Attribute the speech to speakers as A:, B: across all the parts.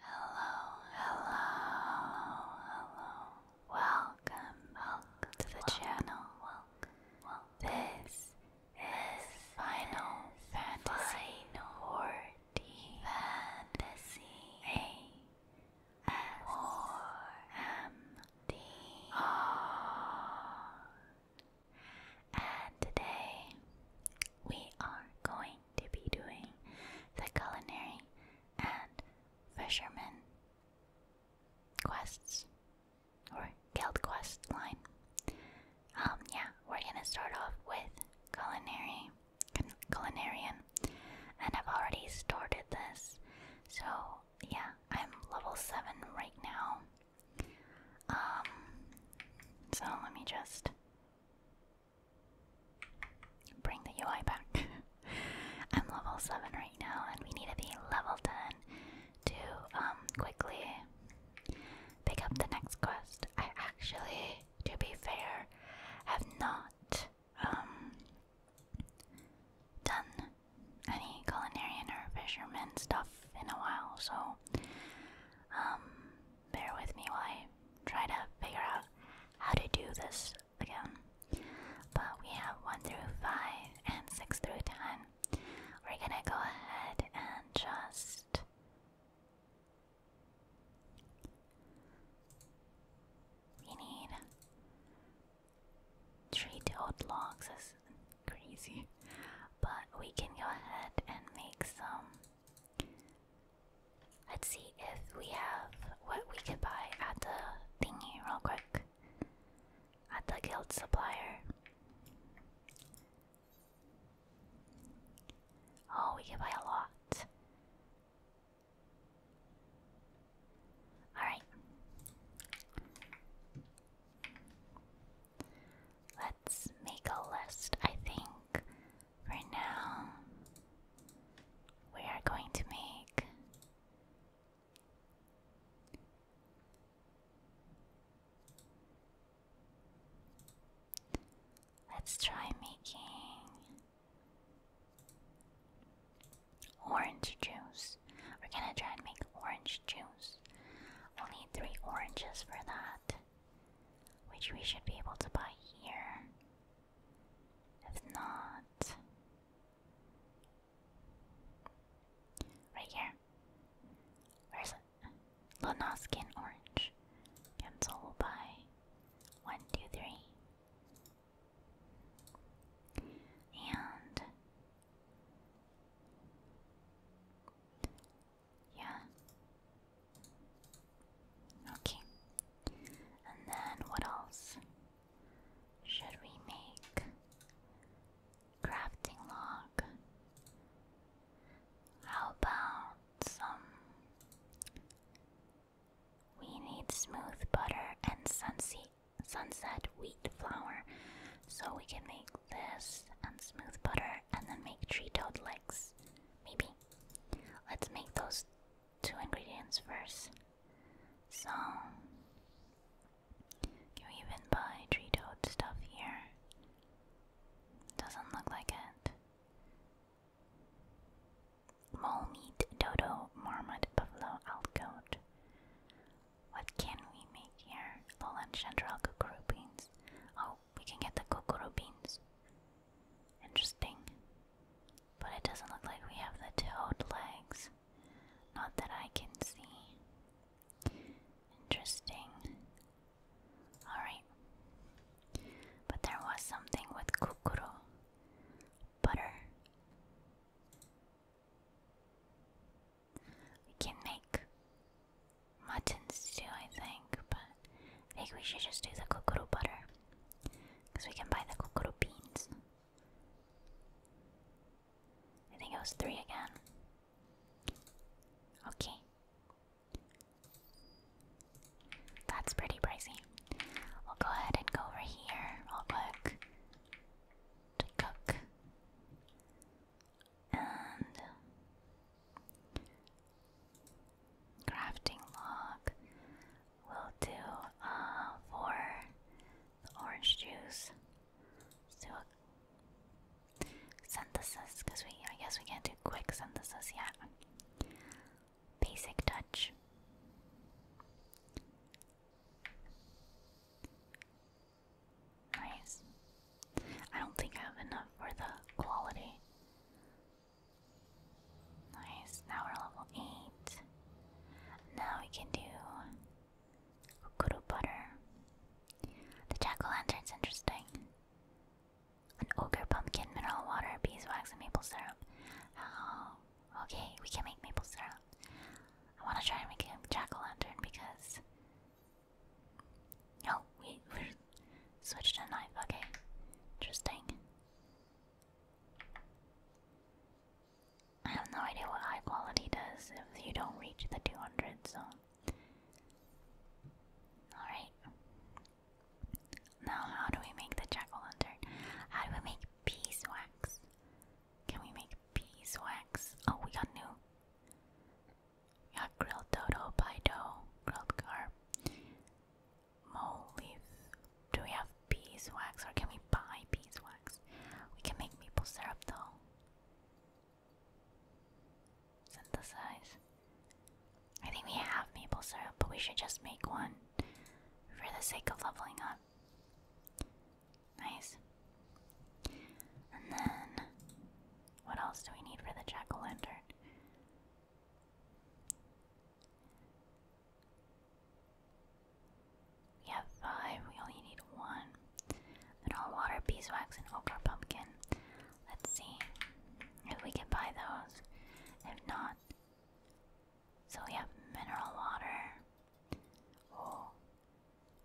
A: Hello, hello, hello. Welcome, welcome to the channel. Welcome, This is Final Fantasy 14 Fantasy M D R. And today we are going to be doing the culinary and fisherman quests or guild quest line. Um, yeah, we're gonna start off with culinary, culinarian, and I've already started this. So, yeah, I'm level 7 right now. Um, so let me just bring the UI back. I'm level 7 right now, and we need to be level 10 to um, quickly pick up the next quest. I actually, to be fair, have not um, done any culinarian or fisherman stuff in a while, so um, bear with me while I try to figure out how to do this again. But we have 1 through 5 and 6 through 10. We're gonna go ahead and just. We need treat old logs as crazy, but we can go ahead and make some. Let's see if we have what we could buy at the thingy real quick at the guild supplier. Oh, we can buy a lot. Alright. Let's make a list, I think. For now, we are going to make Let's try making Orange juice. We're gonna try and make orange juice. We'll need three oranges for that, which we should be able to buy here. If not, right here. Where's it? Lanaskin orange. Cancel will buy. One, two, three. And yeah. Okay. And then what else should we make? Crafting log. How about some? We need smooth butter and sunseed sunset wheat flour. So we can make this and smooth butter and then make tree toad legs. Maybe. Let's make those two ingredients first. So, can we even buy tree toad stuff here? Doesn't look like it mole meat, dodo, marmot, buffalo, outgoat. What can we make here? Lowland chanterelle kukuru beans. Oh, we can get the kukuru beans. Interesting. But it doesn't look like we have the toad legs. Not that I can see. Interesting. Alright. But there was something with kukuru. Butter. We can make mutton stew, I think, but I think we should just do the kokoro butter. Because we can buy the kokoro beans. I think it was three again. Okay. That's pretty pricey. We'll go ahead and go over here real quick to cook. And crafting log will do uh, for the orange juice. let do a synthesis because we, I guess, we can't do quick synthesis yet. Basic touch. Nice. I don't think I have enough for the quality. Nice. Now we're level 8. Now we can do kukuru butter. The jack o' lantern's interesting. An ogre pumpkin, mineral water, beeswax, and maple syrup. Okay, we can make maple syrup. I want to try and make a jack o' lantern because. No, oh, we we switched a knife. Okay, interesting. I have no idea what high quality does if you don't reach the 200 zone. Alright. Now, how do we make the jack o' lantern? How do we make beeswax? Can we make beeswax? Oh, we got new. We got grilled dodo, pie grilled carp, mole leaf. Do we have beeswax or can we buy beeswax? We can make maple syrup though. Synthesize. I think we have maple syrup, but we should just make one for the sake of leveling up. Nice. And then, what else do we need for the jack o' lantern? We have five, we only need one. Mineral water, beeswax, and okra pumpkin. Let's see if we can buy those. If not, so we have mineral water. Oh,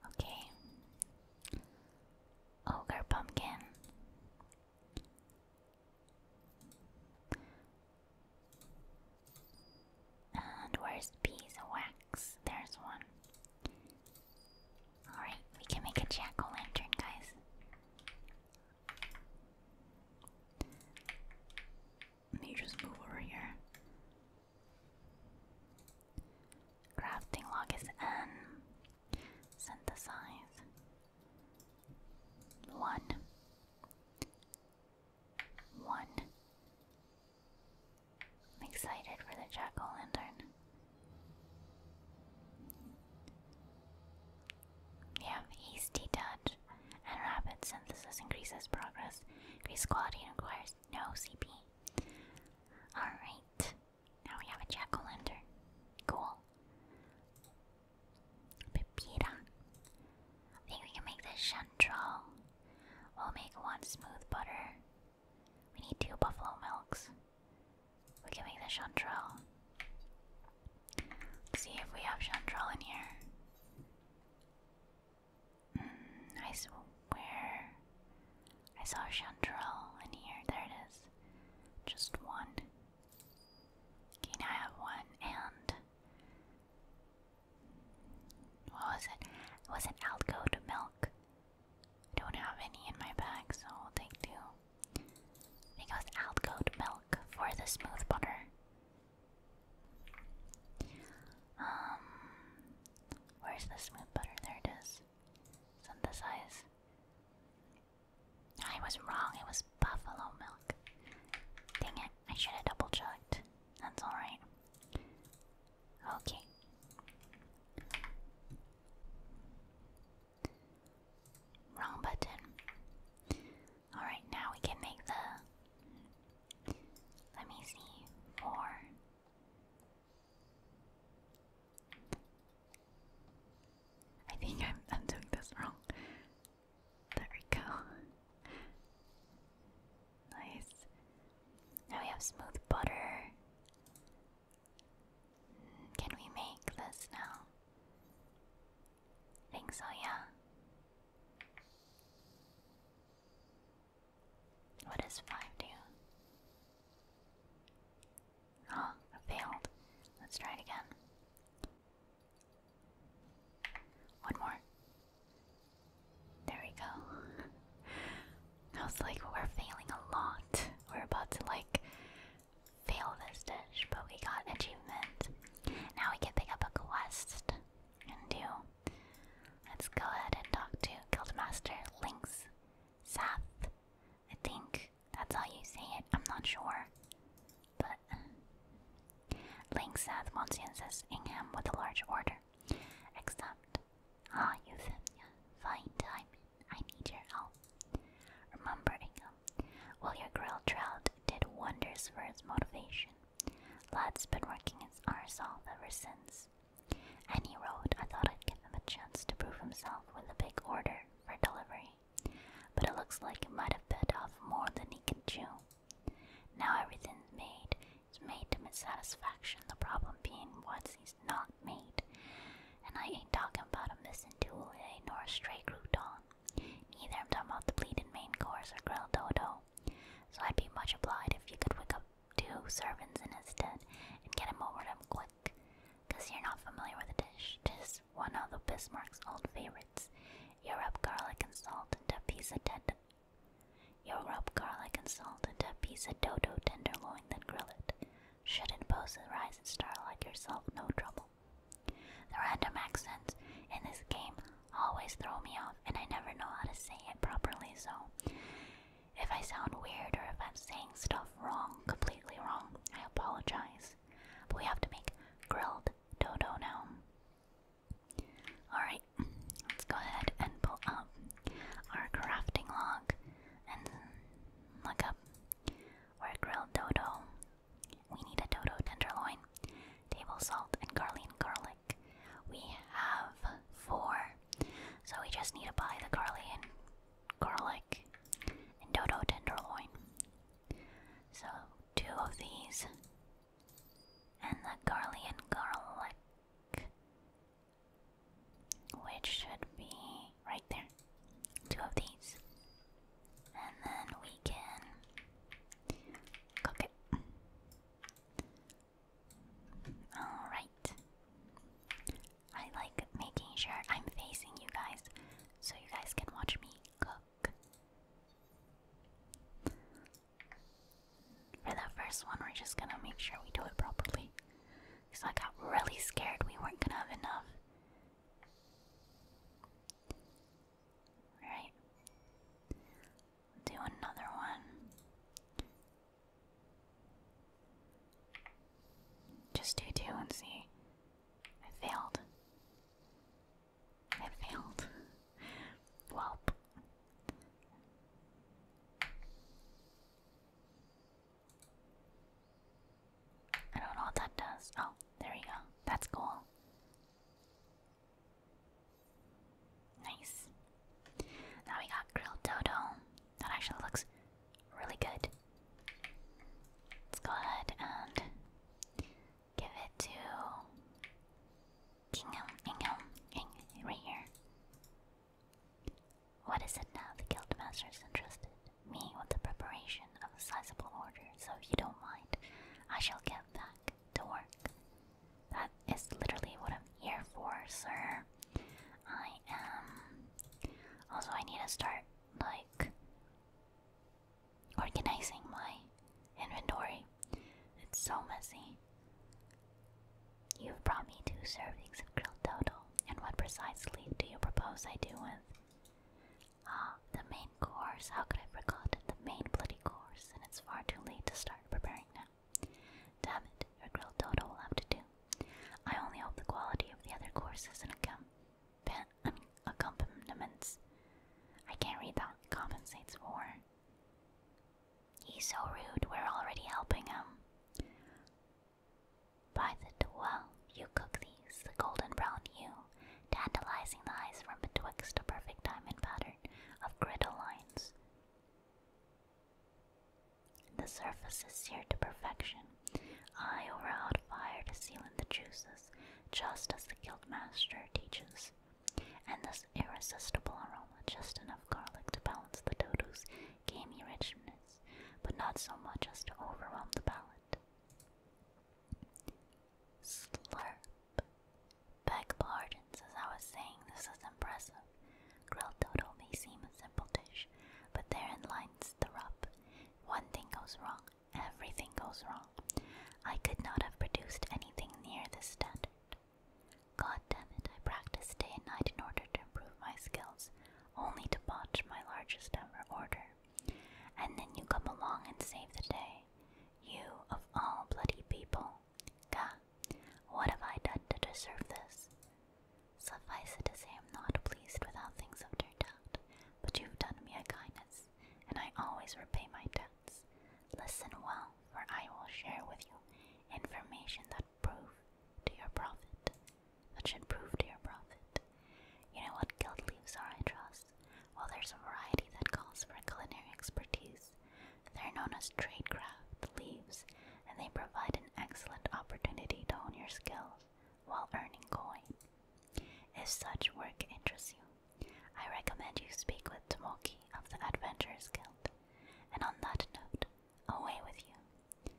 A: Okay. Ogre pumpkin. And where's bees There's one. Alright, we can make a jack o' lantern, guys. Let me just move over here. Crafting log is N. Synthesize. One. One. I'm excited for the jack o' lantern. We have hasty touch and rapid synthesis increases progress, increases quality, and requires no, CP. Alright. Now we have a jack o' lantern. Cool. Pepita. I think we can make this chanterelle. We'll make one smooth butter. We need two buffalo milks. We are giving the chanterelle. see if we have chanterelle in here. Mm, I saw, I saw Chanterelle in here. There it is. Just one. Okay, I have one and. What was it? was it Alco to milk. I don't have any in my bag, so I'll take two. I think it was Alco milk for the smooth butter. Um, where's the smooth butter? There it is. Synthesize. I was wrong. It was buffalo milk. Dang it! I should have double checked. That's all right. Okay. Wrong button. All right, now we can make the. Let me see. Four. I think I'm I'm doing this wrong. There we go. Nice. Now we have smooth butter. Mm, can we make this now? I think what 5 do? Oh, failed. Let's try it again. One more. There we go. I was like, we're failing a lot. We're about to like fail this dish, but we got achievement. Now we can pick up a quest and do Let's go ahead and talk to Guildmaster Lynx Sath. I think that's how you say it. I'm not sure. But Lynx Sath wants you Ingham with a large order. Except, ah, you said, yeah, fine time. I need your help. Remember, Ingham, well, your grilled trout did wonders for his motivation. Lad's been working his arse off ever since. Any road, I thought I'd give him a chance to prove himself with a big order for delivery, but it looks like he might have bit off more than he can chew. Now everything's made is made to my satisfaction, the problem being what's he's not made. And I ain't talking about a missing tule eh, nor a stray crouton. Neither I'm talking about the bleeding main course or grilled dodo. So I'd be much obliged if you could wake up two servants in a tent and get him over to quick. Cause you're not familiar with the dish. Tis one of the Bismarck's old favorites. You rub garlic and salt into a piece of tenderloin, then grill it. Shouldn't pose a rising star like yourself no trouble. The random accents in this game always throw me off, and I never know how to say it properly, so if I sound weird or if I'm saying stuff wrong, completely wrong, I apologize. But we have to make grilled dodo now. Alright, let's go ahead and pull up our crafting log and look up where grilled dodo. We need a dodo tenderloin, table salt, and garland garlic. We have four. So we just need to buy the Carlian Garlic and Dodo Tenderloin. So two of these. And the garlic and Garlic. Which should be right there. Two of these. And then we can cook it. Alright. I like making sure I'm facing you guys so you guys can watch me cook. For the first one, we're just gonna make sure we do it properly. Because I got really scared we weren't gonna have enough. Alright. Do another one. Just do two and see. I failed. I failed. Welp. I don't know what that does. Oh, there you go. That's cool. Nice. Now we got grilled dodo. That actually looks really good. Let's go ahead and give it to Kingham, Ingham, Ing, right here. What is it now? The guildmaster is interested me with the preparation of a sizable order, so if you don't mind, I shall get back to work. That is literally what I'm here for, sir. I am. Also, I need to start, like, organizing my inventory. It's so messy. You've brought me two servings of grilled dodo, and what precisely do you propose I do with? Ah, the main course. How could I forgotten the main bloody course? And it's far too late to start preparing now. Damn it, her grilled dodo will have to do. I only hope the quality of the other courses and accompaniments I can't read that compensates for. He's so rude, we're already helping him. By the well, you cook these, the golden brown hue, tantalizing the eyes from betwixt a perfect diamond pattern of griddle lines. The surface is seared to perfection. I over hot fire to seal in the juices, just as the guild master teaches. And this irresistible aroma, just enough garlic to balance the dodo's gamey richness, but not so much as to overwhelm the palate. Slurp. Beg pardons, as I was saying, this is impressive. Grilled dodo may seem a simple dish, but therein lies the rub. One thing goes wrong, everything goes wrong. I could not have produced anything near the standard. God damn it, I practiced day and night in order to improve my skills, only to botch my largest ever order. And then you come along and save the day. You, of all bloody people. Gah, what have I done to deserve this? Suffice it to say, I'm not pleased with how things have turned out, but you've done me a kindness, and I always repay my debts. Listen well, for I will share with you information that prove to your profit. That should prove to your profit. You know what guild leaves are, I trust? Well, there's a variety that calls for culinary expertise. They're known as trade craft leaves, and they provide an excellent opportunity to hone your skills while earning coin. If such work interests you, I recommend you speak with Tomoki of the Adventurers Guild. And on that note, away with you.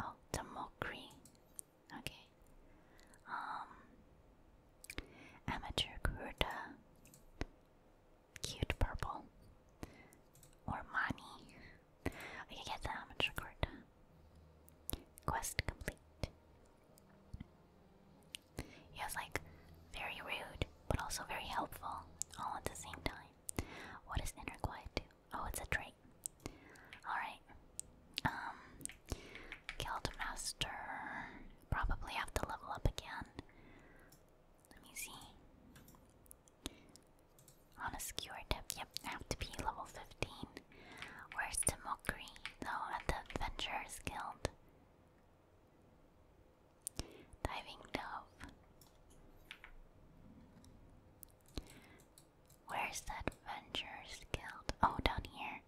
A: Oh, Tomokri. Okay. Um, amateur Kuruta cute purple. Ormani. I get that on the Quest complete. He like very rude, but also very helpful, all at the same time. What does inner do? Oh, it's a trait. Alright. Um Guild Master. Probably have to level up again. Let me see. On a skewer tip, yep, have to be level 15. Where's Timokri, though, at the Adventurers Guild? Diving Dove. Where's that Adventurers Guild? Oh, down here.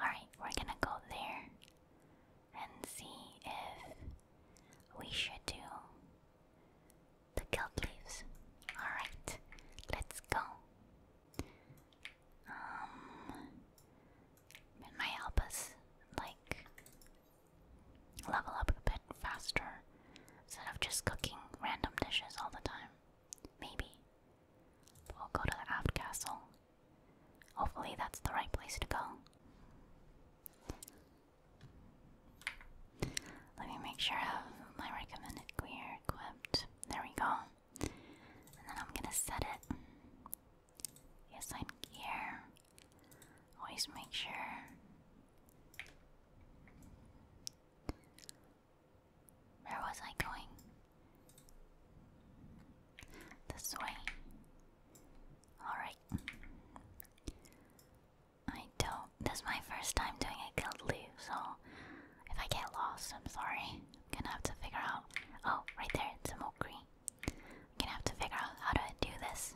A: Alright, we're gonna go there and see if we should do the guild leaves. Alright, let's go. Um, it might help us, like, level up a bit faster instead of just cooking random dishes all the time. Maybe. we'll go to the aft castle. Hopefully, that's the right place to go. Let me make sure I have my recommended gear equipped. There we go. And then I'm gonna set it. Yes, I'm here. Always make sure. Where was I going? This way. Alright. I don't. This is my first time doing a guild leave, so if I get lost, I'm sorry. I'm gonna have to figure out. Oh, right there, some a green. I'm gonna have to figure out how to do this.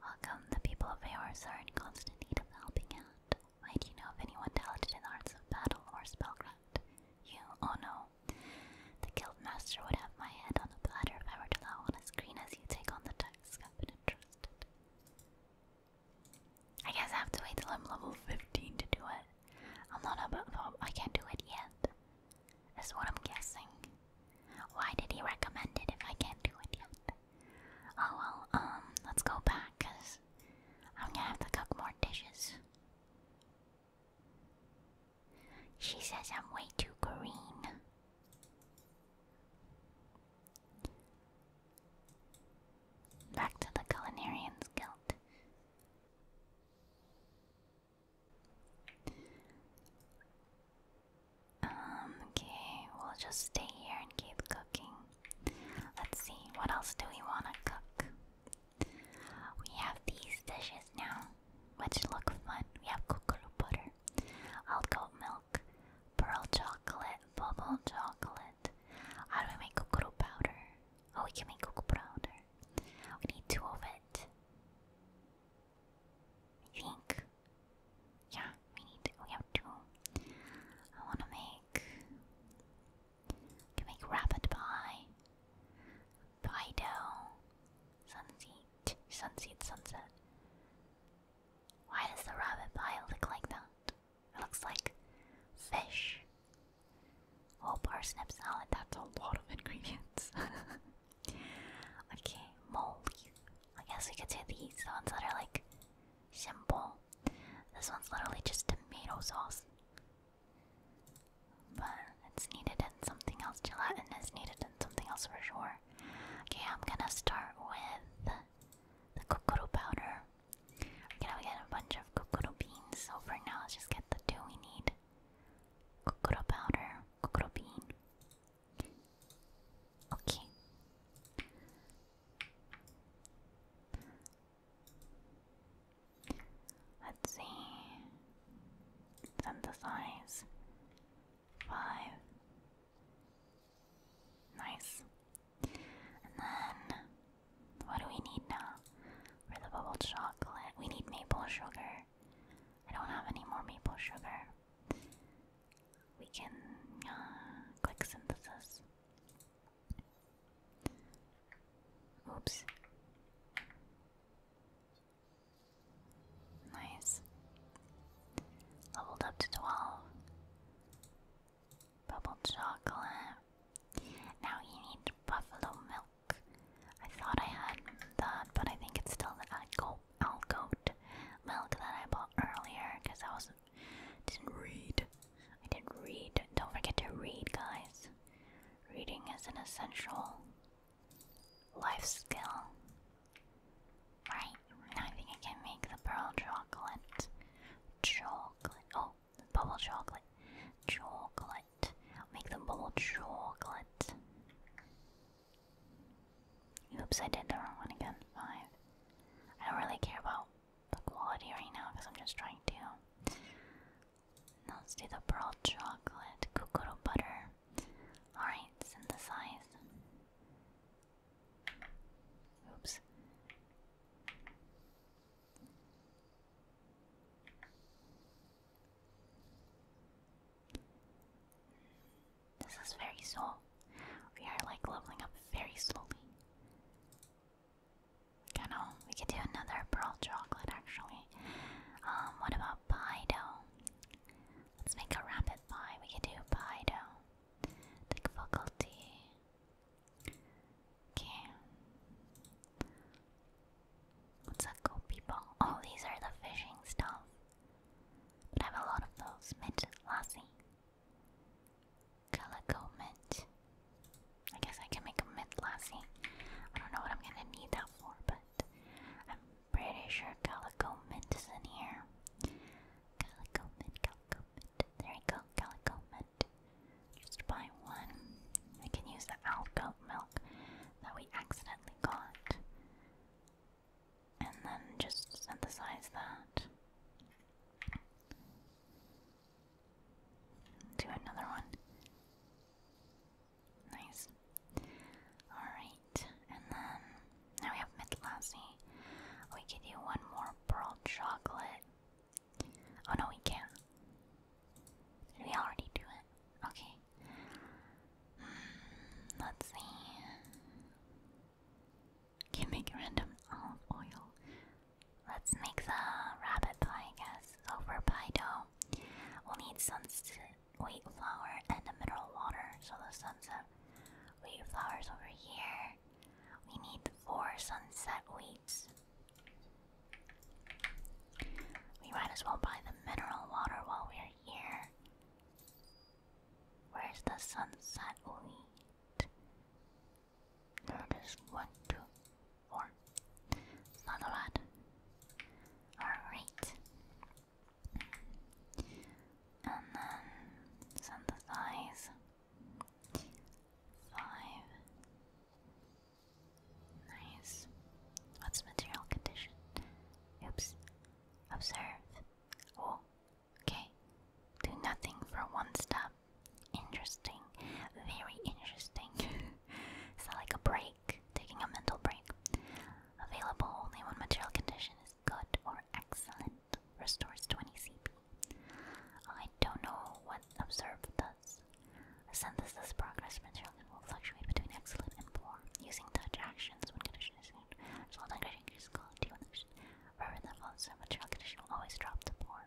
A: Welcome, the people of Aors are in constant need of helping out. Why you know of anyone talented in the arts of battle or spellcraft? You? Oh no. The guild master would have my head on a platter if I were to allow on a screen as you take on the task I guess I have to wait till I'm level 15 to do it. I'm not above, I can't do it yet. That's what I'm guessing. Why did he recommend it if I can't do it yet? Oh well, um, let's go back, cause I'm gonna have to cook more dishes. She says I'm way too green. Back to the Culinarian's Guild. Um, okay, we'll just stay here and keep cooking. Let's see, what else do we want to cook? We have these dishes now, which look fun. We have kukuru butter, flavor I'll go milk, pearl chocolate, bubble chocolate. How do we make cocoa powder? Oh, we can make cocoa powder. We need two of it. I think. Yeah, we need. We have two. I want to make. I make rabbit pie, pie dough, sunset, sunset, sunset. Why does the rabbit pie look like that? It looks like fish. Oh, parsnip salad, that's a lot of ingredients. okay, mold. I guess we could do these, the ones that are like simple. This one's literally just tomato sauce. But it's needed in something else. Gelatin is needed in something else for sure. Okay, I'm gonna start with the kukuru powder. We're gonna get a bunch of kukuru beans, so for now let's just get the two we need. Kukuru powder, kukuru bean. Okay. Let's see. Synthesize. Five. Nice. And then, what do we need now? For the bubble chocolate, we need maple sugar. I don't have any more maple sugar. We can uh, click synthesis. Oops. Nice. Leveled up to 12. Bubble chocolate. Now you need buffalo milk. I thought I had that, but I think it's still the goat milk that I bought earlier because I was didn't read. I didn't read. Don't forget to read, guys. Reading is an essential life skill. Right, now I think I can make the pearl chocolate. Chocolate. Oh, bubble chocolate. Chocolate. Make the bubble chocolate. Oops, I did the wrong one again. Five. I don't really care about the quality right now because I'm just trying to. Now let's do the pearl chocolate, kukuro butter. Alright, synthesize. Oops. This is very slow. We are like leveling up very slowly. I know we could um, do another pearl chocolate actually. Um, what about pie dough? Let's make a rabbit pie. We could do pie dough. Tech faculty. Okay. What's that called, people? Oh, these are the fishing stuff. But I have a lot of those. Mint, lassie. Calico mint. I guess I can make a mint lassie. I don't know what I'm gonna need that for, but I'm pretty sure calico mint is in here. Calico mint, There you go, calico Just buy one. I can use the alcohol milk that we accidentally got. And then just synthesize that. Do another one. Nice. Alright, and then now we have Midlassie. We could do one more pearl chocolate. Oh no, we can't. we already do it? Okay. Hmm, let's see. Can make random oil. Let's make the rabbit pie, I guess. So pie dough, we'll need some wheat flour and a mineral water. So the sunset we have flowers over here. We need four sunset weeds. We might as well buy the mineral water while we're here. Where's the sunset wheat? There's one, two, four. not a lot. Alright and then synthesize five. Nice. What's material condition? Oops. Observe. Oh, okay. Do nothing for one step. Interesting. Very interesting. Is like a break? Taking a mental break. Available only when material condition is good or excellent restores 20 CP. I don't know what observe does. A this progress material that will fluctuate between excellent and poor, using touch actions when condition is good, So degradation is quality when action. Rather than observe material condition will always drop to poor.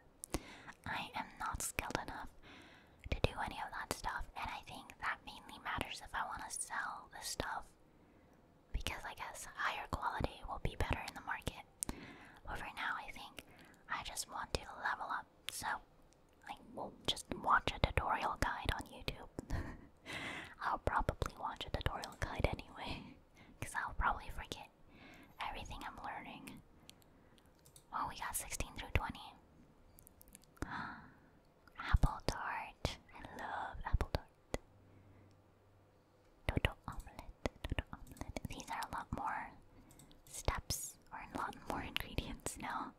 A: I am not skilled enough to do any of that stuff, and I think that mainly matters if I want to sell the stuff because I guess higher quality will be better in the market. But for now, I think I just want to level up, so I will just watch a tutorial guide on YouTube. I'll probably watch a tutorial guide anyway, because I'll probably forget everything I'm learning. Oh, we got 16 through 20. Apple tart. I love apple tart. Dodo omelette, These are a lot more steps or a lot more ingredients now.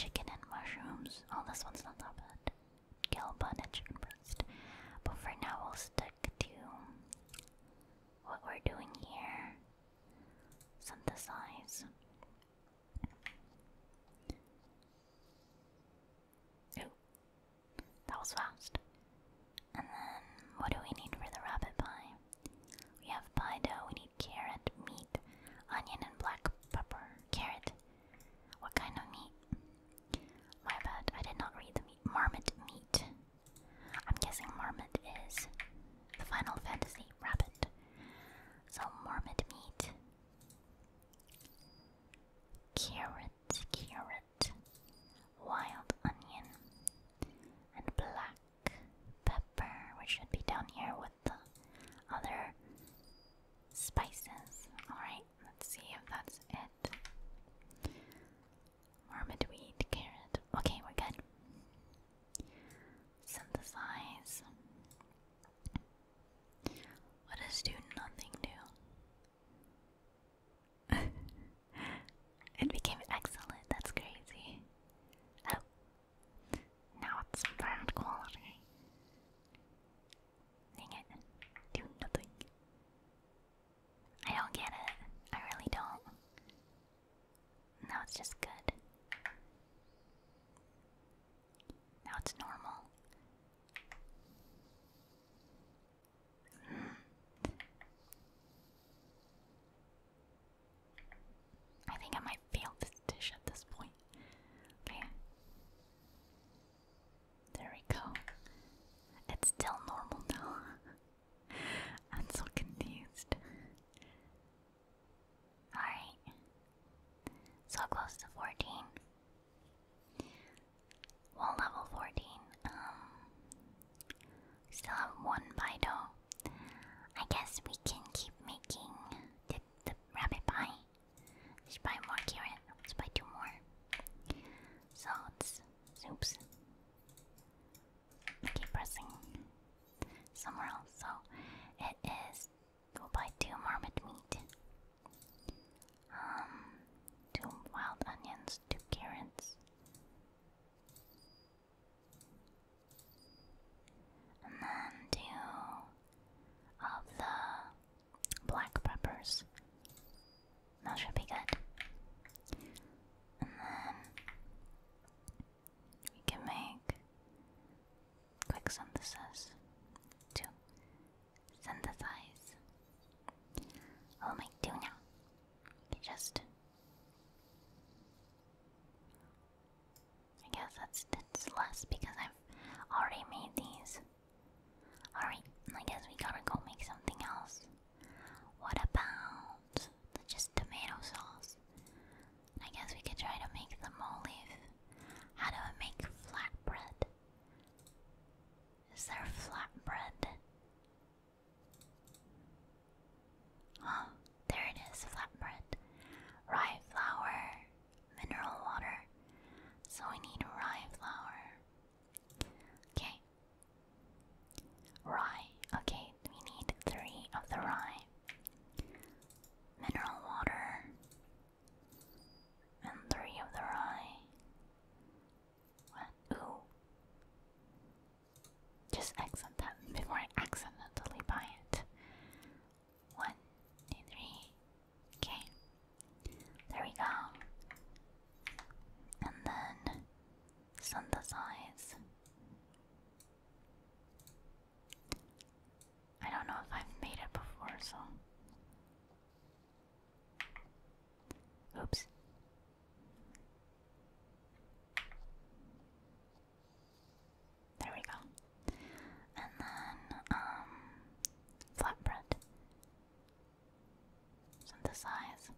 A: Chicken and mushrooms. Oh, this one's not that bad. Gill bun breast. But for now, we'll stick to what we're doing here. Synthesize that was fast. And then, what do we need for the rabbit pie? We have pie dough, we need carrot, meat, onion, and black pepper. Carrot. What kind of meat? My bad, I did not read the meat. Marmot meat. I'm guessing marmot is the Final Fantasy rabbit. So, marmot meat. Carrot, carrot wild onion, and black pepper, which should be down here with the other spices. Alright, let's see if that's it. weed carrot. Okay, we're good. Synthesize. What does do nothing do? it became excellent, that's crazy. Oh, now it's bad quality. Dang it, do nothing. I don't get it, I really don't. Now it's just good. Now it's normal. I think I might fail this dish at this point. Okay. There we go. It's still normal now. I'm so confused. Alright. So close to 14 well, level 14. Um, still have one dough. I guess we can keep making the, the rabbit pie. let buy more carrot. let buy two more. So it's keep pressing somewhere else. So it is. buy two marmot meat. Um, two wild onions, two carrots. And then two of the black peppers. That should be good. And then we can make quick synthesis. Two synthesize. What am I just. I guess that's it's less because I've already made these. Alright, I guess we gotta go make something else. What about just tomato sauce? I guess we could try to make the mole leaf. How do I make flatbread? Is there flatbread? Oh, there it is, flatbread. Rye flour, mineral water. So we need rye flour. Okay. Rye. Okay, we need three of the rye. Mineral water. And three of the rye. What? Ooh. Just accent that before I accidentally buy it. One, two, three. Okay. There we go. And then synthesize. I don't know if I've made it before, so Oops. There we go. And then, um, flatbread. Synthesize.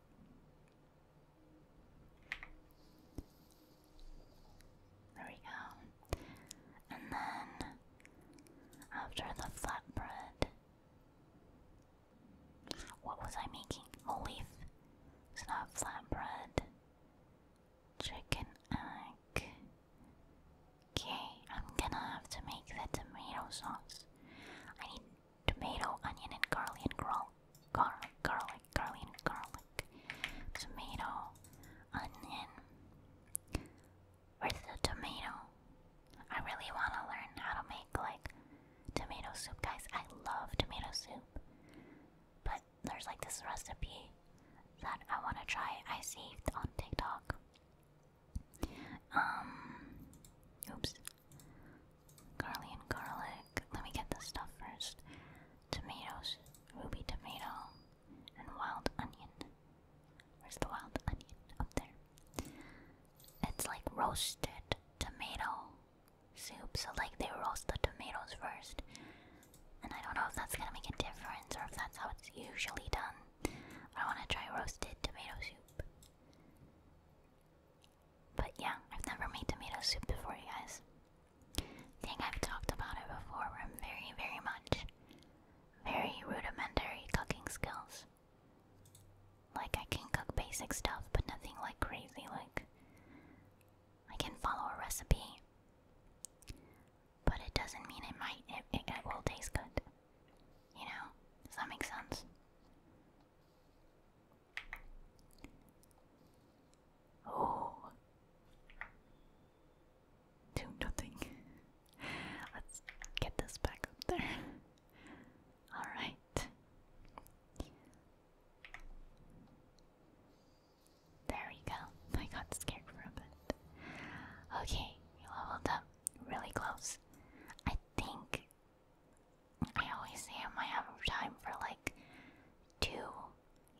A: There we go. And then, after the flatbread, what was I making? Whole leaf. It's not flatbread. Chicken egg. Okay, I'm gonna have to make the tomato sauce. I need tomato, onion, and garlic and garlic, garlic, garlic, garlic, garlic. Tomato, onion. Where's the tomato? I really want to learn how to make like tomato soup, guys. I love tomato soup, but there's like this recipe that I want to try. I saved on TikTok. Um, oops. Garlic and garlic. Let me get this stuff first. Tomatoes, ruby tomato, and wild onion. Where's the wild onion? Up there. It's like roasted tomato soup, so like they roast the tomatoes first. And I don't know if that's gonna make a difference or if that's how it's usually done. I wanna try roasted tomato soup. But yeah, I've never made tomato soup before, you guys. I think I've talked about it before. I'm very, very much very rudimentary cooking skills. Like, I can cook basic stuff, but nothing like crazy. Like, I can follow a recipe, but it doesn't mean it might, it, it, it will taste good. You know? Does that make sense? Oh. Do nothing. Let's get this back up there. All right. There we go. I got scared for a bit. Okay, you leveled up. Really close. I think I always say I might have time for like two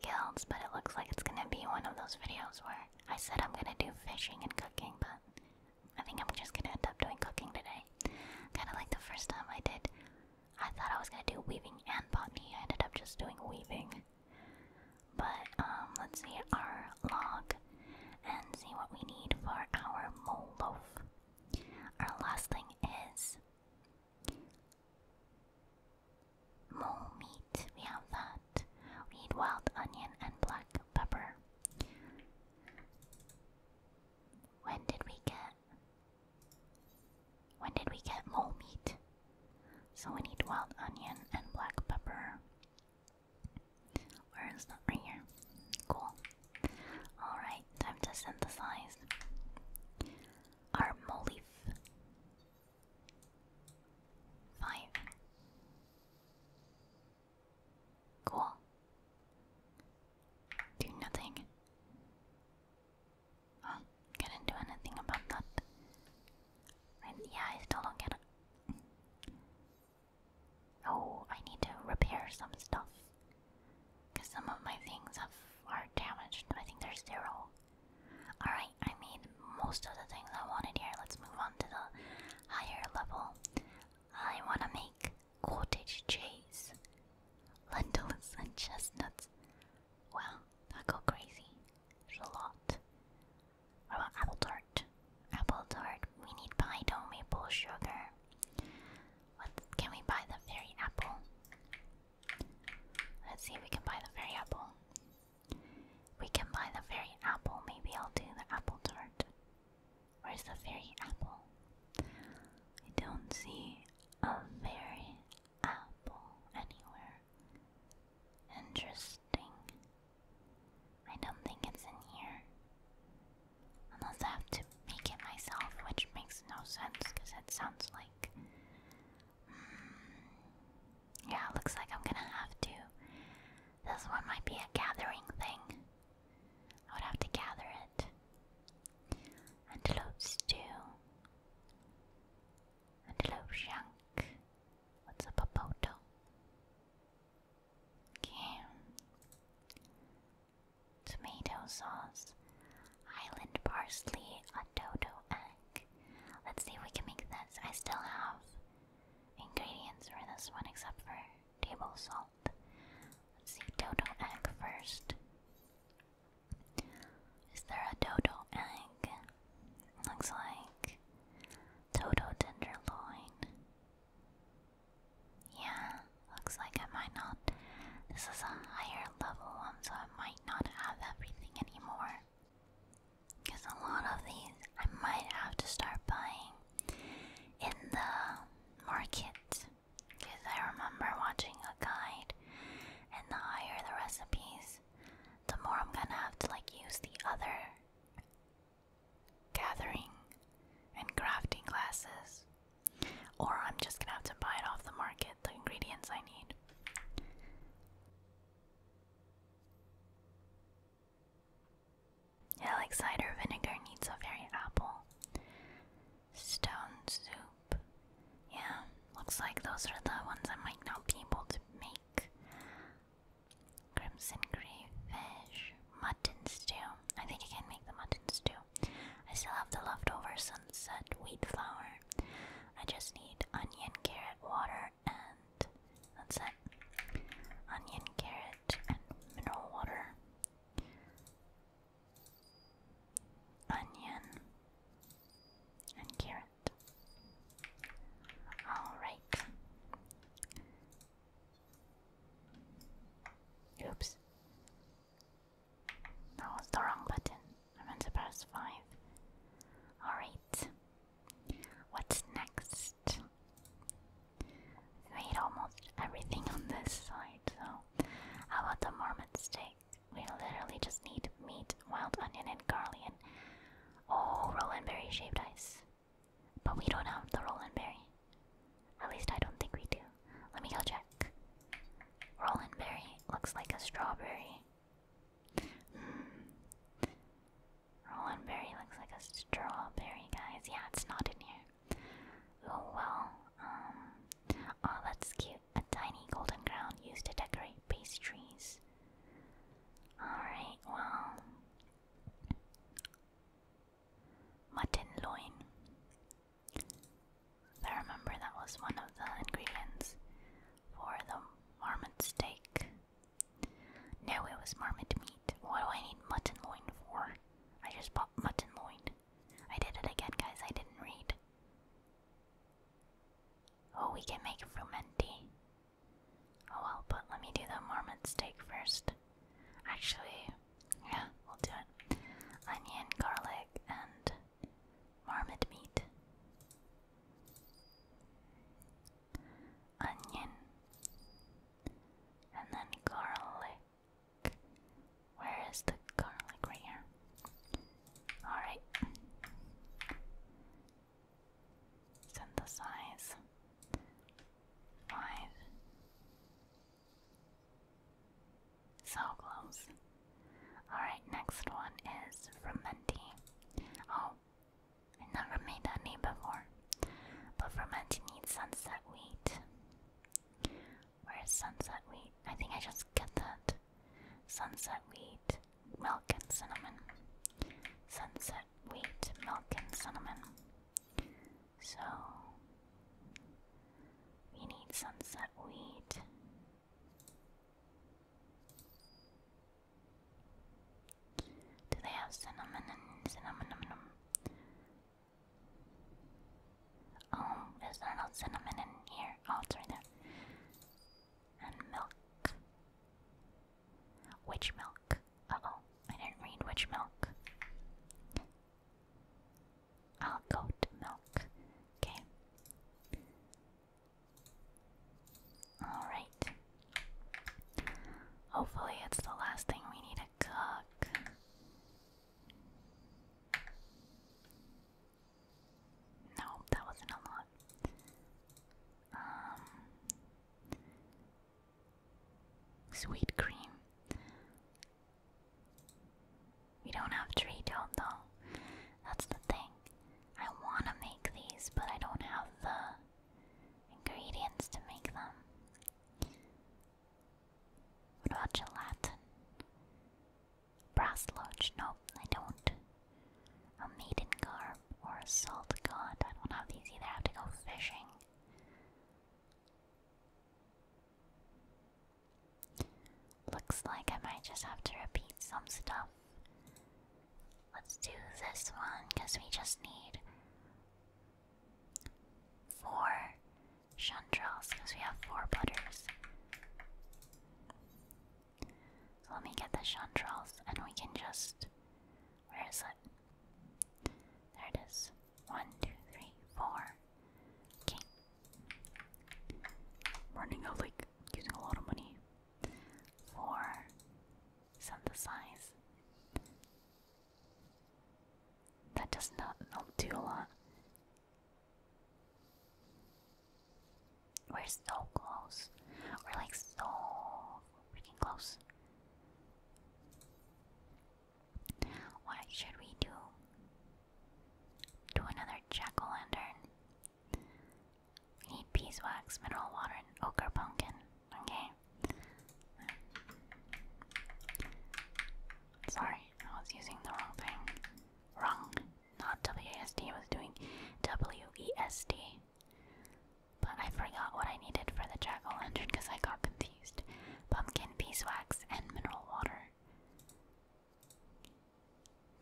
A: guilds, but it looks like it's gonna be one of those videos where I said I'm gonna do fishing and cooking, but I think I'm just gonna end up doing cooking today. Kinda like the first time I did. I thought I was gonna do weaving and botany. I ended up just doing weaving. But um, let's see our log and see what we need for our mole loaf. Our last thing is mole meat. We have that. We need wild onion and black pepper. When did we get. When did we get mole meat? So we need wild onion and black pepper. Where is that? Right here. Cool. Alright, time to synthesize our mole leaf. Five. Cool. Do nothing. Oh, couldn't do anything about that. yeah, I still don't get it. Oh, I need to repair some stuff. Because some of my things have, are damaged. I think there's zero. Alright, I made most of the things I wanted here. Let's move on to the higher level. I want to make cottage cheese, lentils and chestnuts. Well, I go crazy. There's a lot. about apple tart? Apple tart. We need pie-dough maple sugar. What can we buy? The fairy apple. Let's see if we can buy the fairy apple. We can buy the fairy apple. Maybe I'll do the apple tart. Where's the fairy apple? I don't see a fairy apple anywhere. Interesting. I don't think it's in here. Unless I have to make it myself, which makes no sense because it sounds like. Hmm, yeah, looks like I'm gonna have to. This one might be a gathering thing. I would have to gather it. Antelope stew. Antelope shank. What's a papoto? Okay. Tomato sauce. Island parsley. A toto egg. Let's see if we can make this. I still have ingredients for this one except for table salt see, dodo egg first. Is there a dodo egg? Looks like dodo tenderloin. Yeah, looks like I might not. This is a higher level one, so I might not have everything anymore. Because a lot of these I might have to start buying in the market. Because I remember watching a guide, and the higher the recipes, the more I'm gonna have to like use the other gathering and crafting classes. Or I'm just gonna have to buy it off the market, the ingredients I need. Yeah, like cider vinegar needs a very apple. Stone soup. Yeah, looks like those are the ones I might not be able to make. Crimson green fish, Mutton stew. I think I can make the mutton stew. I still have the leftover sunset wheat flour. I just need onion, carrot, water, and that's it. Onion, carrot, and mineral water onion, and carrot. All right. Oops. That was the wrong button. I meant to press 5. Alright. What's next? We made almost everything on this side, so how about the marmot steak? We literally just need meat, wild onion, and garlic. And oh, roll berry shaved ice. But we don't have the roll berry. At least I don't think we do. Let me go check. Roll berry looks like a strawberry. Mm. berry looks like a strawberry, guys. Yeah, it's not in here. Oh well. Um, oh, that's cute. A tiny golden crown used to decorate pastries. Alright, well. Mutton loin. I remember that was one of the ingredients for the marmot steak. No, it was marmot meat. What do I need mutton loin for? I just bought mutton loin. I did it again, guys. I didn't read. Oh, we can make frumenty. Oh well, but let me do the marmot steak first. Actually, yeah, we'll do it. Onion, garlic, and marmot meat. Onion, and then garlic. Where is the garlic? Right here. Alright. Synthesize. Five. So close. Alright, next one is from fermenting. Oh, I never made that name before. But fermenting needs sunset wheat. Where's sunset wheat? I think I just get that. Sunset wheat, milk and cinnamon. Sunset wheat, milk and cinnamon. So we need sunset wheat. Do they have cinnamon and cinnamon? Oh, is there no cinnamon in here? Oh, it's right there. And milk. Which milk? oh, I didn't read which milk. I'll go to milk. Okay. Alright. Hopefully, it's the last thing we need to cook. No, that wasn't a lot. Um, sweet cream. We don't have tree toad though. That's the thing. I want to make these, but I don't have the ingredients to make them. What Roger Latin. Brass Lodge. No, I don't. A maiden garb or a salt god. I don't have these either. I have to go fishing. Looks like I might just have to repeat some stuff. Let's do this one because we just need four Chandrals, because we have four butters. So let me get the chandrals, and we can just. Where is it? There it is. One, two, three, four. Okay. Running out, like, using a lot of money. for Synthesize. That does not do a lot. We're so close. We're like so freaking close. What should we do? Do another jack o' lantern. We need beeswax, mineral water, ochre pumpkin. Okay. Sorry, I was using the wrong thing. Wrong. Not W A S D. I was doing WESD. But I forgot what I needed for the jack o' lantern because I got confused. Pumpkin, beeswax, and mineral water.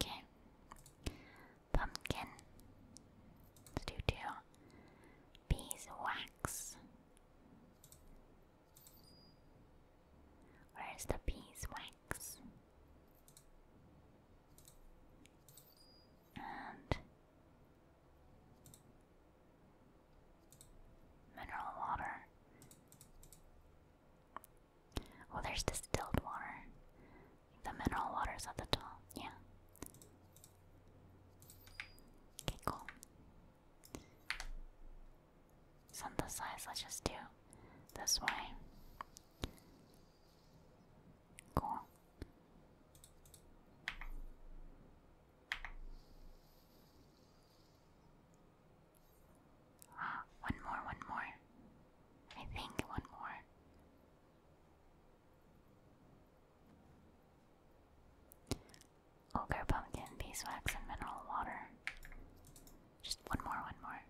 A: Okay. Pumpkin. do two. Beeswax. Where's the beeswax? And mineral water. Well, oh, there's distilled water. The mineral water's at the top, yeah. cool synthesize. Let's just do this way. Cool. Ah, one more, one more. I think one more. Ogre pumpkin, beeswax, and mineral water. Just one more, one more.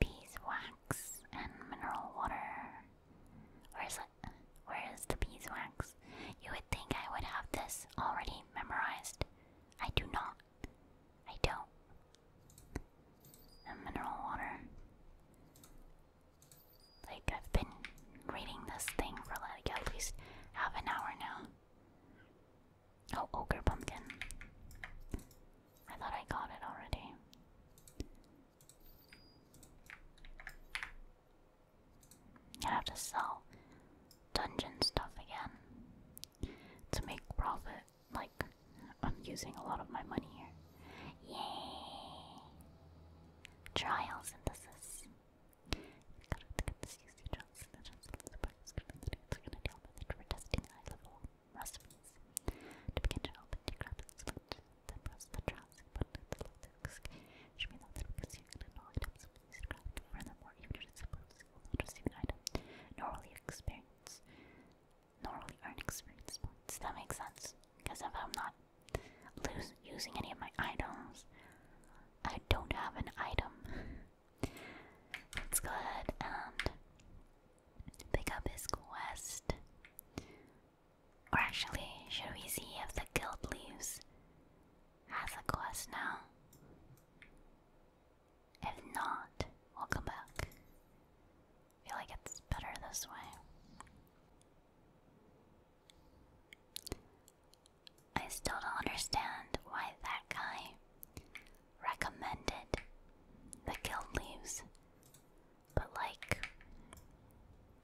A: Beeswax and mineral water. Where is it? Where is the beeswax? You would think I would have this already memorized. I do not. I don't. And mineral water. Like, I've been reading this thing for like at least half an hour now. Oh, ogre pumpkin. I thought I got it already. I have to sell dungeon stuff again to make profit. Like, I'm using a lot of my money here. Yay! Trial synthesis. To begin to open the crab select, then press the drowsy button at the low Should be noted because you can all items of these craft. Furthermore, even if it's a not receive an item, nor will you experience, nor will you That makes sense, because if I'm not lose using any of my items, I don't have an item. Let's go ahead and pick up his quest. Or actually, should we see if the guild leaves has a quest now? If not, we'll come back. feel like it's better this way. I still don't understand why that guy recommended the guild leaves. But like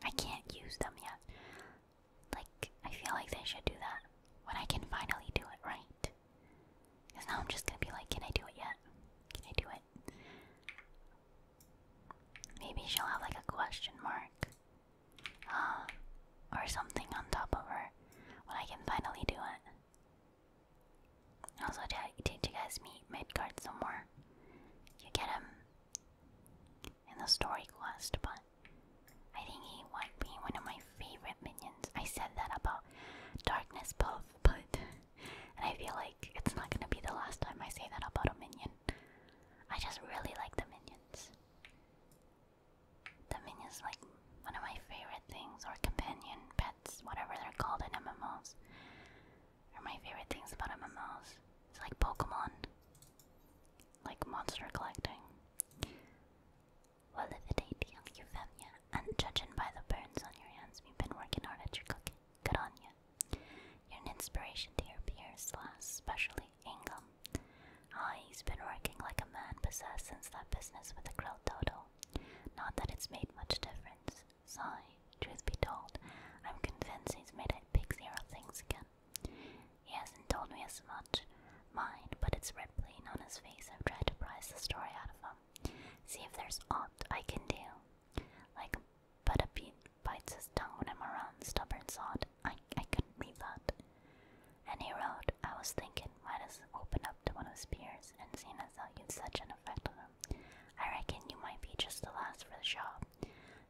A: I can't use them yet. Like I feel like they should do that when I can finally do it right. Cause now I'm just gonna be like, can I do it yet? Can I do it? Maybe she'll have like a question mark. Uh, or something on top of her when I can finally do it. Also, did you guys meet Midgard somewhere? You get him in the story quest, but I think he might be one of my favorite minions. I said that about Darkness Puff, but and I feel like it's not gonna be the last time I say that about a minion. I just really like the minions. The minion's like one of my favorite things, or companion pets, whatever they're called in MMOs. Are my favorite things about MMOs. It's like Pokemon, like monster collecting. Well, if it ain't young, Euphemia, and judging by the burns on your hands, we've been working hard at your cooking. Good on you. You're an inspiration to your peers, slash, especially Ingham. Ah, he's been working like a man possessed since that business with the grilled dodo. Not that it's made much difference. Sigh, truth be told, I'm convinced he's made a big zero things again. He hasn't told me as much, mind, but it's red plain on his face. I've tried to pry the story out of him. See if there's aught I can do. Like, but a bean bites his tongue when I'm around, stubborn sod. I, I couldn't leave that. And he wrote, I was thinking, might as open up to one of his peers, and seeing as how you'd such an effect on him, I reckon you might be just the last for the job.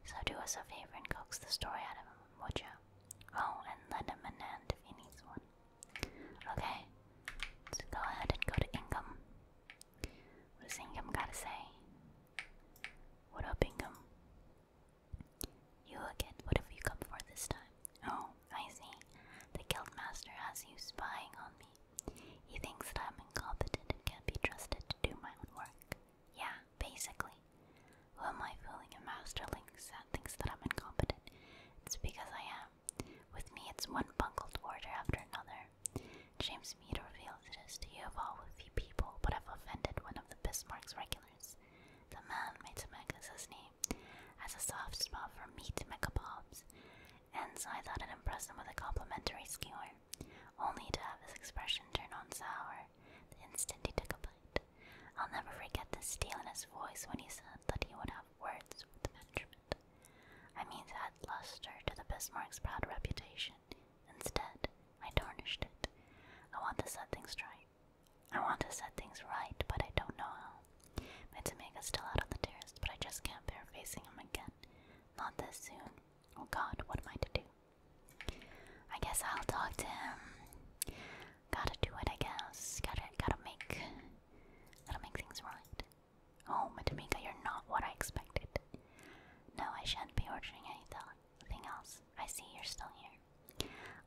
A: So do us a favor and coax the story out of him, would ya? Oh, and lend him an hand if he needs one. Okay, let's go ahead and go to Ingham. What does Ingham gotta say? What up, Ingham? You again, what have you come for this time? Oh, I see. The guildmaster has you spying on me. He thinks that I'm incompetent and can't be trusted to do my own work. Yeah, basically. Who am I fooling? A masterling that thinks that I'm incompetent. It's because I am. With me, it's one bungled order after another. James Mead reveals it is to you of all with few people, but I've offended one of the Bismarck's regulars. The man made to his name as a soft spot for meat megapobs, and so I thought I'd impress him with a complimentary skewer, only to have his expression turn on sour the instant he took a bite. I'll never forget the steel in his voice when he said that he would have words with the management. I mean, to add luster to the Bismarck's proud reputation. Instead, I tarnished it. I want to set things right. I want to set things right, but I don't know how. Mitsumega's still out on the terrace, but I just can't bear facing him again. Not this soon. Oh god, what am I to do? I guess I'll talk to him. Gotta do it, I guess. Gotta, gotta make, gotta make things right. Oh, Matamika, you're not what I expected. No, I shan't be ordering anything else. I see you're still here.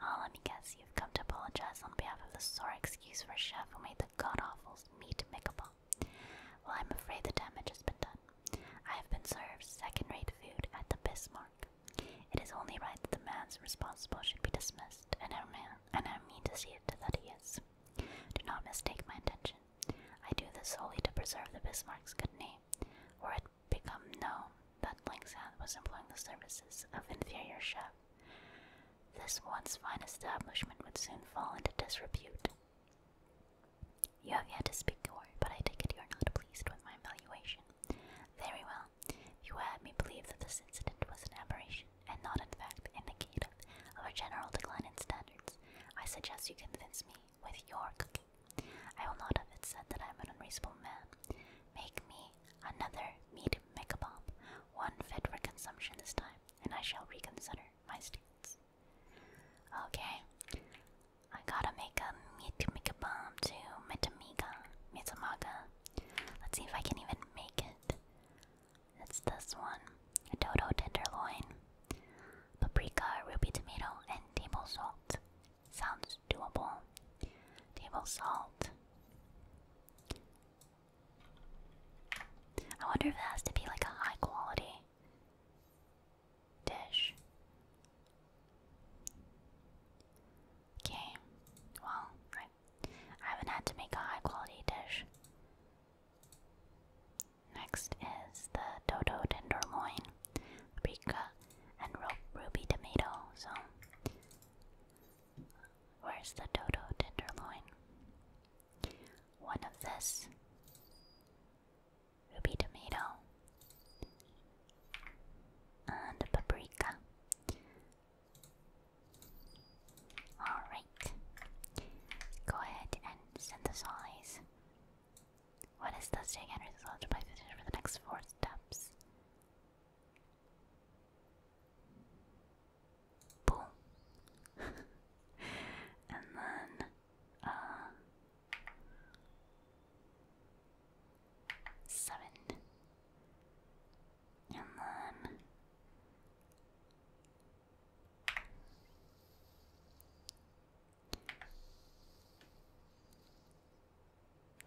A: Ah, let me guess, you've come to apologize on behalf of the sorry excuse for a chef who made the god-awful meat makeable. Well, I'm afraid the damage has been done. I have been served second-rate food at the Bismarck. It is only right that the man responsible should be dismissed, and I, mean to see it that he is. Do not mistake my intention. I do this solely to preserve the Bismarck's good name. Were it become known that Lingshan was employing the services of inferior chef, this once fine establishment would soon fall into disrepute. You have yet to speak your word, but I take it you are not pleased with my evaluation. Very well. You had me believe that this incident was an aberration, and not in fact indicative of a general decline in standards. I suggest you convince me with your cooking. I will not have it said that I am an unreasonable man. Make me Another meat megabomb, one fit for consumption this time, and I shall reconsider my stance. Okay, I gotta make a meat megabomb to Metamiga, Mitsumaga. Let's see if I can even make it. It's this one, a dodo tenderloin, paprika, ruby tomato, and table salt. Sounds doable. Table salt. I wonder if it has to be like a high quality dish. Okay, well, I, haven't had to make a high quality dish. Next is the dodo tenderloin, paprika, and ruby tomato. So Where's the Toto tenderloin? One of this. Ruby tomato. And paprika. Alright. Go ahead and synthesize. What is the Take energy resulted by fishing for the next four steps. Boom. and then, uh, seven. And then,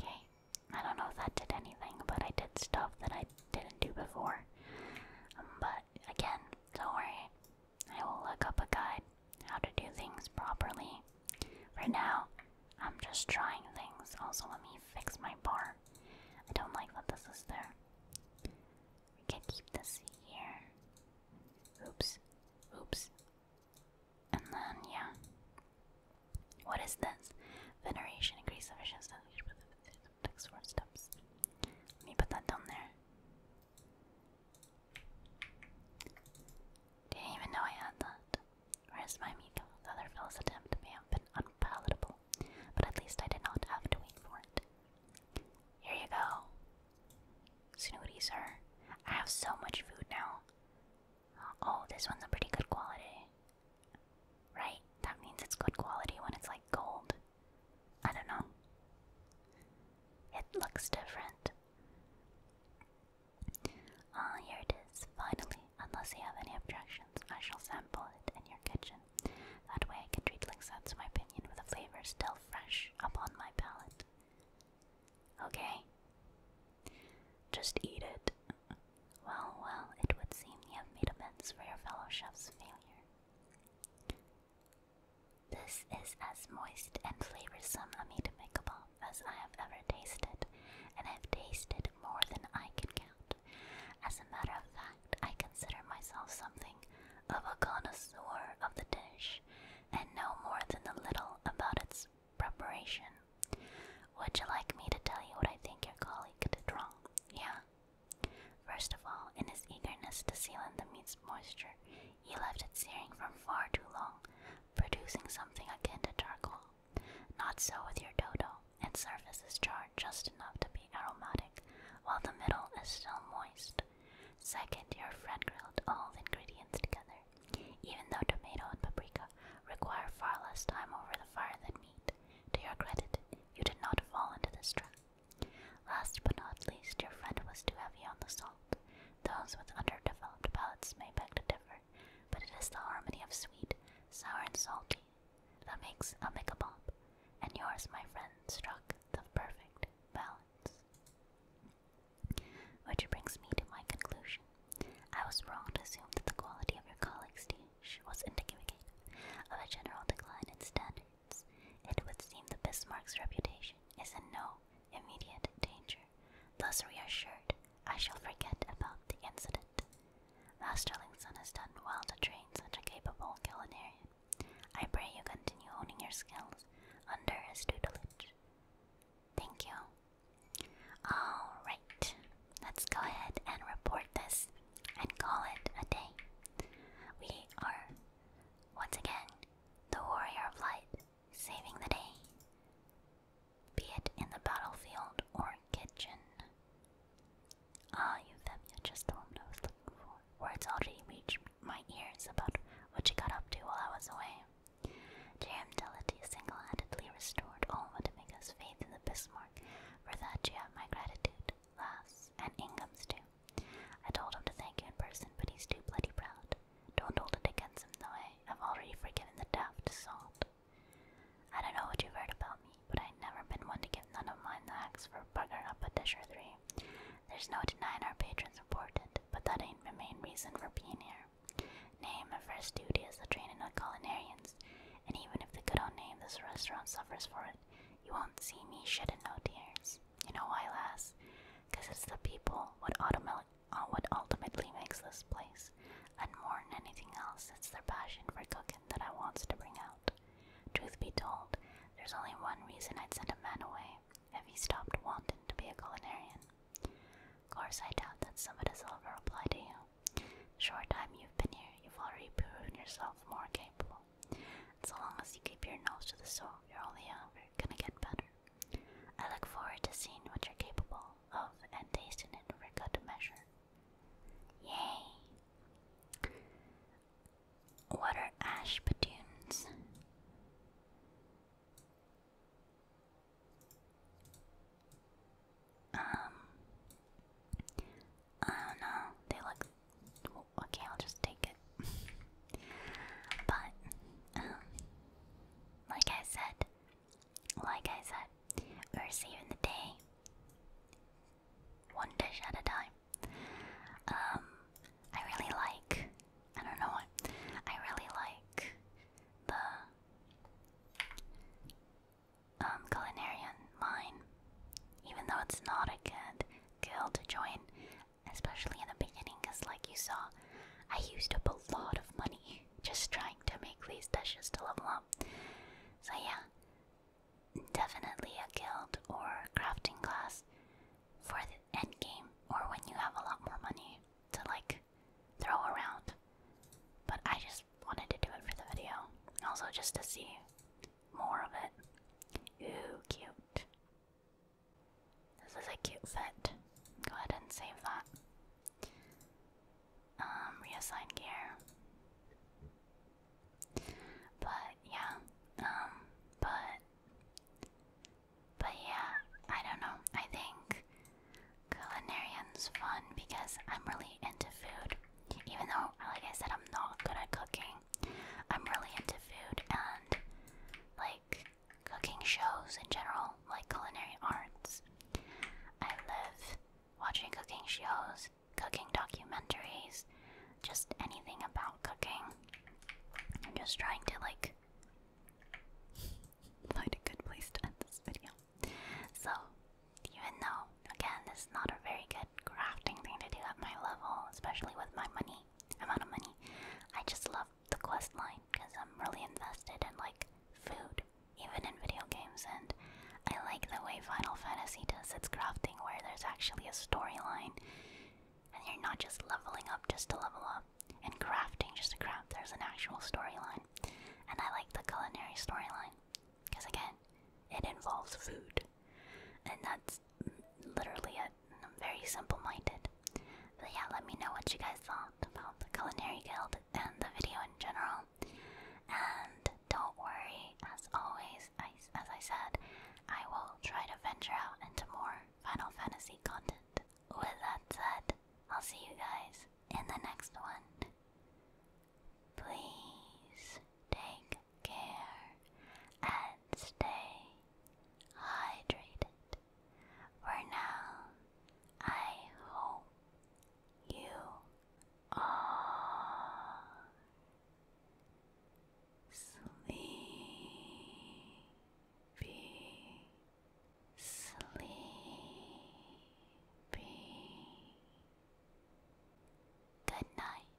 A: okay. I don't know if I did anything, but I did stuff that I didn't do before. Um, but again, don't worry. I will look up a guide how to do things properly. For now, I'm just trying things. Also, let me fix my bar. I don't like that this is there. We can keep this here. Oops. Oops. And then, yeah. What is this? Veneration increases efficiency takes four steps. Let me put that down there. Didn't even know I had that. Where's my Miko? The other fellow's attempt may have been unpalatable, but at least I did not have to wait for it. Here you go. Snooty, sir. I have so much food now. Oh, this one's a pretty good quality. Right? That means it's good quality when it's like gold. I don't know. It looks different. Ah, here it is. Finally, unless you have any objections, I shall sample it in your kitchen. That way I can treat Lixats, my opinion, with a flavor still fresh upon my palate. Okay. Just eat it. Well, well, it would seem you have made amends for your fellow chef's failure. This is as moist and flavorsome a meat kebab as I have ever tasted, and I have tasted more than I can count. As a matter of fact, I consider myself something of a connoisseur of the dish, and know more than a little about its preparation. Would you like me to tell you what I think your colleague did wrong? Yeah, First of all, in his eagerness to seal in the meat's moisture, he left it searing for far too long, producing something akin to charcoal. Not so with your dodo, its surface is charred just enough to be aromatic, while the middle is still moist. Second, your friend grilled all the ingredients together, even though tomato and paprika require far less time over the fire than meat. To your credit, you did not fall into this trap. Last but not least, your friend was too heavy on the salt. Those with underdeveloped palates may beg to differ, but it is the harmony of sweet, sour, and salty that makes a mickabob, and yours, my friend, struck the perfect balance. Which brings me to my conclusion. I was wrong to assume that the quality of your colleague's tea she was indicative of a general decline in standards. It would seem that Bismarck's reputation is in no immediate danger. Thus reassured, I shall forget about the incident. Masterling's son has done well to train such a capable culinary. I pray you continue honing your skills under his tutelage. Thank you. Alright, let's go ahead and report this and call it a day. We are, once again, the warrior of light, saving the day, be it in the battlefield or kitchen. Ah, Euphemia, just the one I was looking for. Words already reached my ears about what you got up to while I was away. Dear J.M. Delity single handedly restored all but Amiga's faith in the Bismarck. For that, you have my gratitude laughs, and Ingham's too. I told him to thank you in person, but he's too bloody proud. Don't hold it against him though, I've already forgiven the daft salt. I don't know what you've heard about me, but I've never been one to give none of mine the axe for buggering up a dish or three. There's no denying our patrons reported, but that ain't my main reason for being here. Name my first duty is the training of culinarians, and even if the good old name this restaurant suffers for it you won't see me shedding no tears. You know why, lass? Because it's the people what, uh, what ultimately makes this place, and more than anything else, it's their passion for cooking that I wants to bring out. Truth be told, there's only one reason I'd send a man away if he stopped wanting to be a culinarian. Course, I doubt that some of this will ever apply to you. Short time you've been here, you've already proven yourself more capable. And so long as you keep your nose to the soil, you're only ever gonna get better. I look forward to seeing what you're capable of and tasting it for good measure. Yay! What are ash patoons? Um, I don't know. They look. Well, okay, I'll just take it. but, um, like I said, like I said, we're saving the day. One dish at a time. Um, I really like. I don't know what. I really like the Culinary um, culinarian line, even though it's not a good guild to join, especially in the beginning, because like you saw, I used up a lot of money just trying to make these dishes to level up. So yeah, definitely a guild or crafting class for the end game or when you have a lot more money to like throw around. But I just wanted to do it for the video, also just to see more of it. Ooh, cute. This is a cute fit. Go ahead and save that. Um, reassign gear. But yeah, um, but but yeah, I don't know. I think culinarian's fun because I'm really into food. Even though, like I said, I'm not good at cooking, I'm really into food and like cooking shows in general, like culinary arts. I love watching cooking shows, cooking documentaries, just anything about cooking. I'm just trying to like find a good place to end this video. So even though, again, this is not a very good crafting thing to do at my level, especially with my money amount of money. I just love the quest line because I'm really invested in like food, even in video games, and I like the way Final Fantasy does its crafting, where there's actually a storyline, and you're not just leveling up just to level up, and crafting just to craft. There's an actual storyline, and I like the culinary storyline because again, it involves food. And that's literally it. very simple minded. But yeah, let me know what you guys thought about the Culinary Guild and the video in general. And don't worry, as always, I, as I said, I will try to venture out into more Final Fantasy content. With that said, I'll see you guys in the next one. Please take care and stay hydrated. For now, I hope you are sleepy, sleepy. Good night.